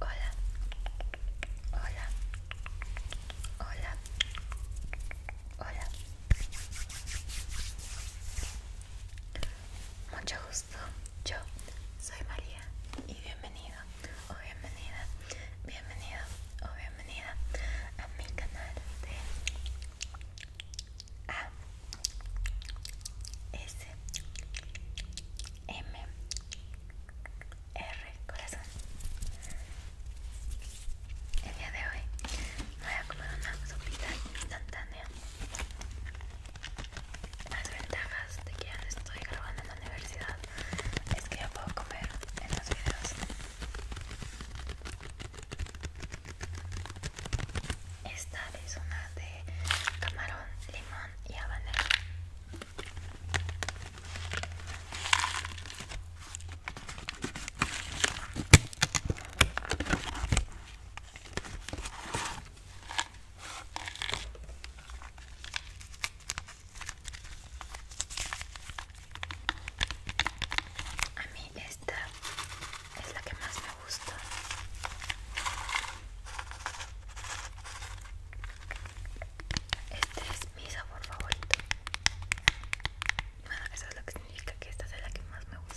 Hola, hola, hola, hola. Mucho gusto, yo soy María y bienvenido o bienvenida, bienvenido o bienvenida a mi canal de a S M R corazón el día de hoy voy a comer una sopita instantánea las ventajas de que ya no estoy grabando en la universidad es que yo puedo comer en los videos esta es una de camarón, limón y habanero. A mí esta es la que más me gusta. Este es mi sabor favorito. Bueno, eso es lo que significa que esta es la que más me gusta.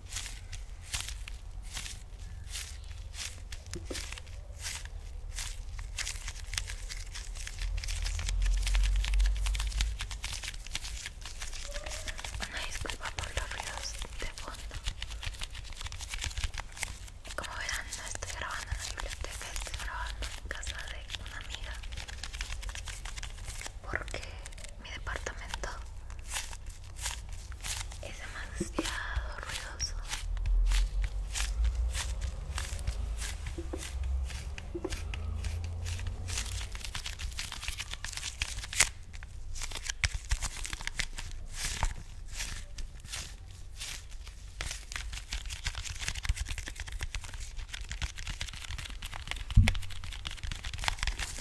Una disculpa por los ruidos de fondo. Como verán, no estoy grabando en la biblioteca, estoy grabando en casa de una amiga. Porque mi departamento es demasiado ruidoso.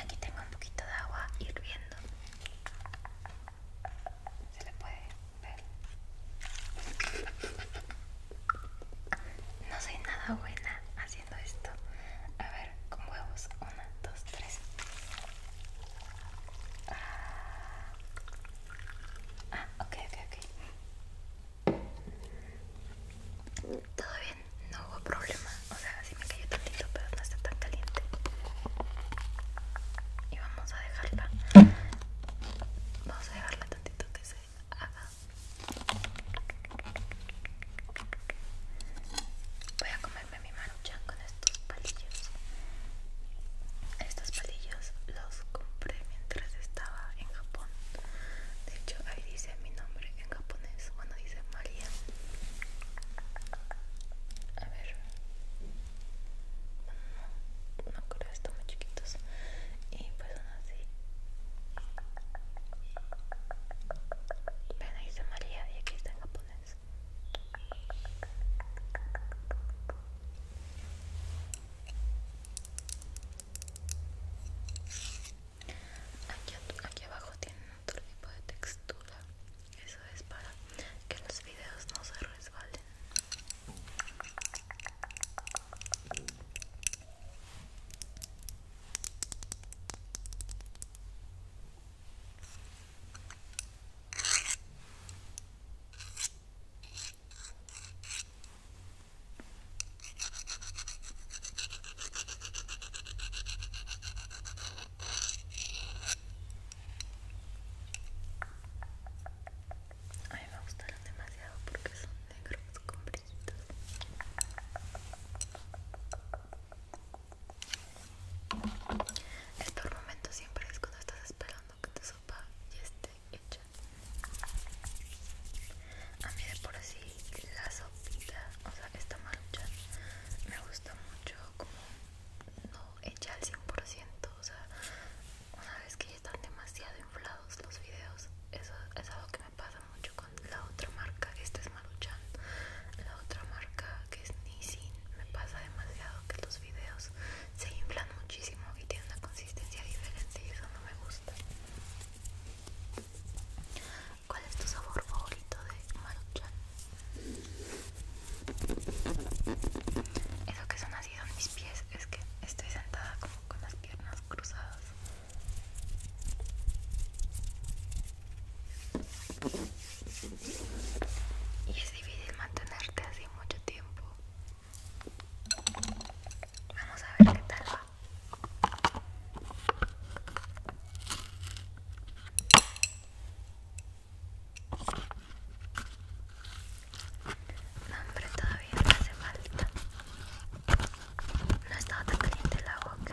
Aquí tengo un poquito de agua hirviendo. Se le puede ver. No soy nada buena haciendo esto. A ver, con huevos. Una, dos, tres. Ah, ah ok, ok, ok. Todo bien, no hubo problema. O sea, sí me cayó tantito, pero no está tan caliente. Y vamos a dejarla. Vamos a dejarla tantito que se haga. Voy a comerme mi maruchan con estos palillos. Estos palillos los compré mientras estaba en Japón. De hecho, ahí dice mi nombre en japonés. Bueno, dice María. A ver. Mm, no, creo, están muy chiquitos. Y pues son así. Ven, ahí dice María y aquí está en japonés. Aquí, abajo tienen otro tipo de textura. Eso es para que los videos no se resbalen. A mí me gustaron demasiado porque son negros con brillitos. El peor momento siempre es cuando estás esperando que te sopa ya esté hecha. A mí de por así la sopita, o sea, esta maruchan me gusta mucho como no hecha al 100%, o sea, una vez que ya están demasiado inflados los videos, eso es algo que me pasa mucho con la otra marca, esta es Maruchan, la otra marca que es Nissin, me pasa demasiado que los videos se inflan muchísimo y tiene una consistencia diferente y eso no me gusta. ¿Cuál es tu sabor favorito de Maruchan? Eso que son así en mis pies, es que estoy sentada como con las piernas cruzadas. Y es difícil mantenerte así mucho tiempo. Vamos a ver qué tal va. No, hombre, todavía no hace falta. No estaba tan caliente el agua que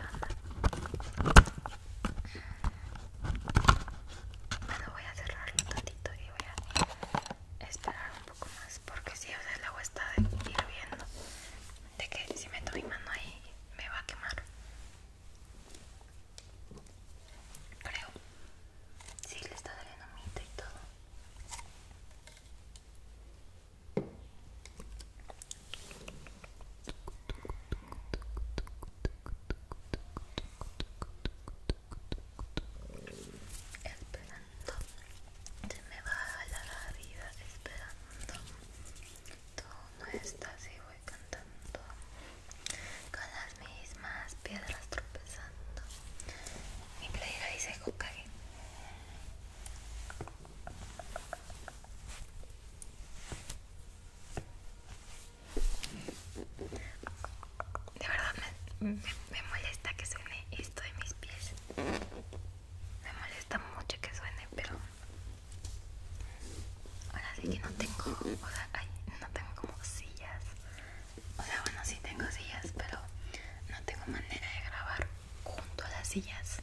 Bueno, voy a cerrarlo un tantito y voy a esperar un porque si el agua está hirviendo de que si meto mi mano ahí me va a quemar creo si le está saliendo mito y todo esperando se me va a la vida esperando tú no estás y voy cantando con las mismas piedras tropezando mi playera dice Hokage de verdad me me molesta que suene esto de mis pies. Me molesta mucho que suene, pero ahora sí que no tengo, o sea, no tengo como sillas. O sea, bueno, sí tengo sillas, pero no tengo manera de grabar junto a las sillas.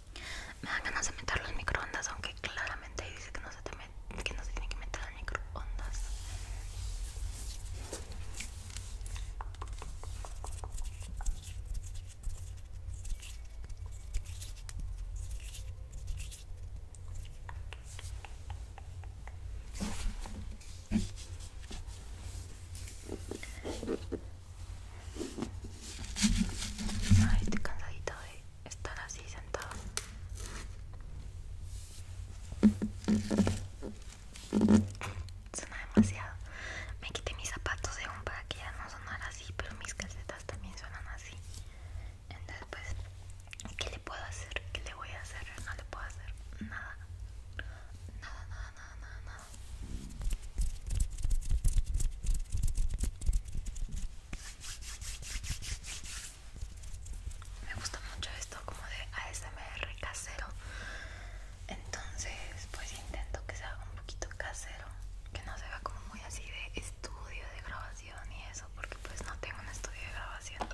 Me da ganas de meter los microondas, aunque claramente dice que no se, no tiene que meter las microondas. Ay, estoy cansadita de estar así sentada. Suena demasiado. Me quité mis zapatos de un para que ya no sonara así, pero mis calcetas también suenan así. Entonces, pues, ¿qué le puedo hacer? ¿Qué le voy a hacer? No le puedo hacer Nada, nada, nada, nada, nada. Me gusta mucho esto como de ASMR casero. Entonces, pues intento que sea un poquito casero, que no se vea como muy así de estudio de grabación y eso, porque pues no tengo un estudio de grabación.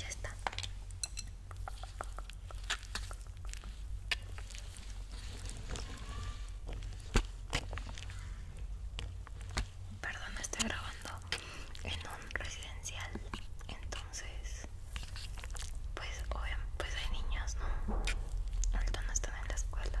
Ya está. Perdón, estoy grabando en un residencial, entonces, pues, obvio, pues hay niños, ¿no? Ahorita no están en la escuela.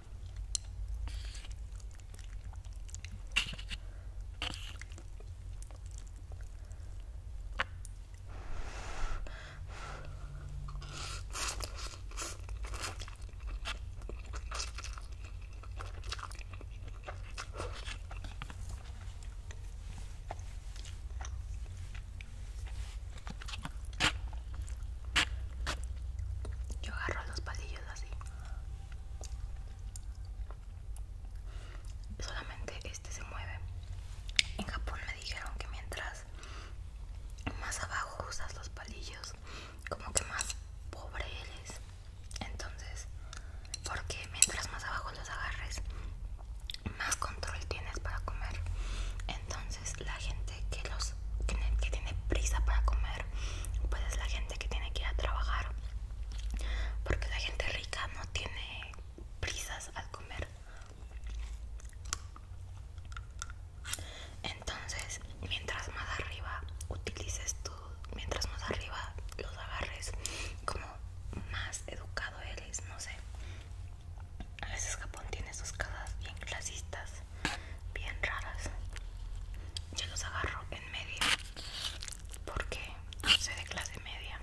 Yo agarro los pasillos así solamente este se mueve en Japón me dijeron que mientras más abajo usas los palillos como que más pobre eres entonces porque mientras más abajo los agarres más control tienes para comer entonces la gente que, los, que tiene prisa para comer, pues es la gente que tiene que ir a trabajar. Porque la gente rica no tiene prisas al comer. Entonces, mientras más arriba utilices tú, mientras más arriba los agarres, como más educado eres, no sé. A veces Japón tiene sus casas bien clasistas bien raras yo los agarro en media porque soy de clase media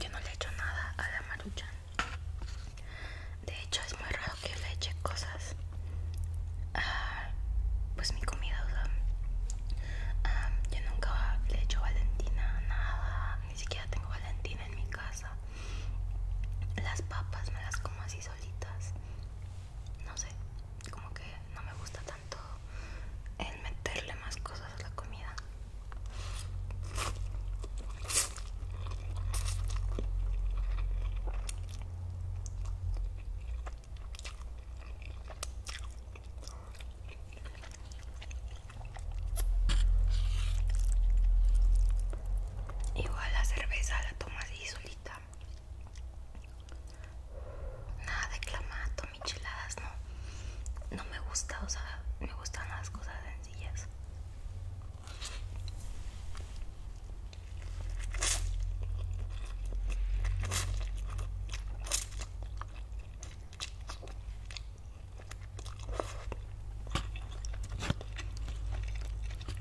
yo no le echo nada a la maruchan. De hecho es muy raro que le eche cosas. pues mi comida, yo nunca le echo Valentina nada. Ni siquiera tengo Valentina en mi casa. Las papas me las como así solitas. No sé, como que no me gusta tanto el meterle más cosas a la comida. Igual la cerveza la tomas así solita nada de clamato, micheladas, no, no me gusta, o sea, me gustan las cosas sencillas.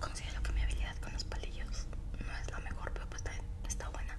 Considero que mi habilidad con los palillos no es la mejor, pero pues está buena.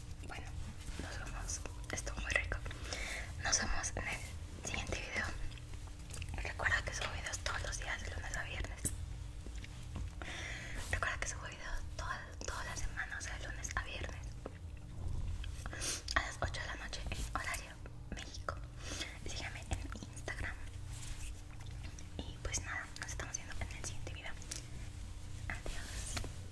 bueno, nos vemos. esto muy rico. Nos vemos en el siguiente video. Recuerda que subo videos todos los días, de lunes a viernes. Recuerda que subo videos todas, todas las semanas, de lunes a viernes. A las 8 de la noche en horario México. Síganme en Instagram. Y pues nada, nos estamos viendo en el siguiente video. Adiós.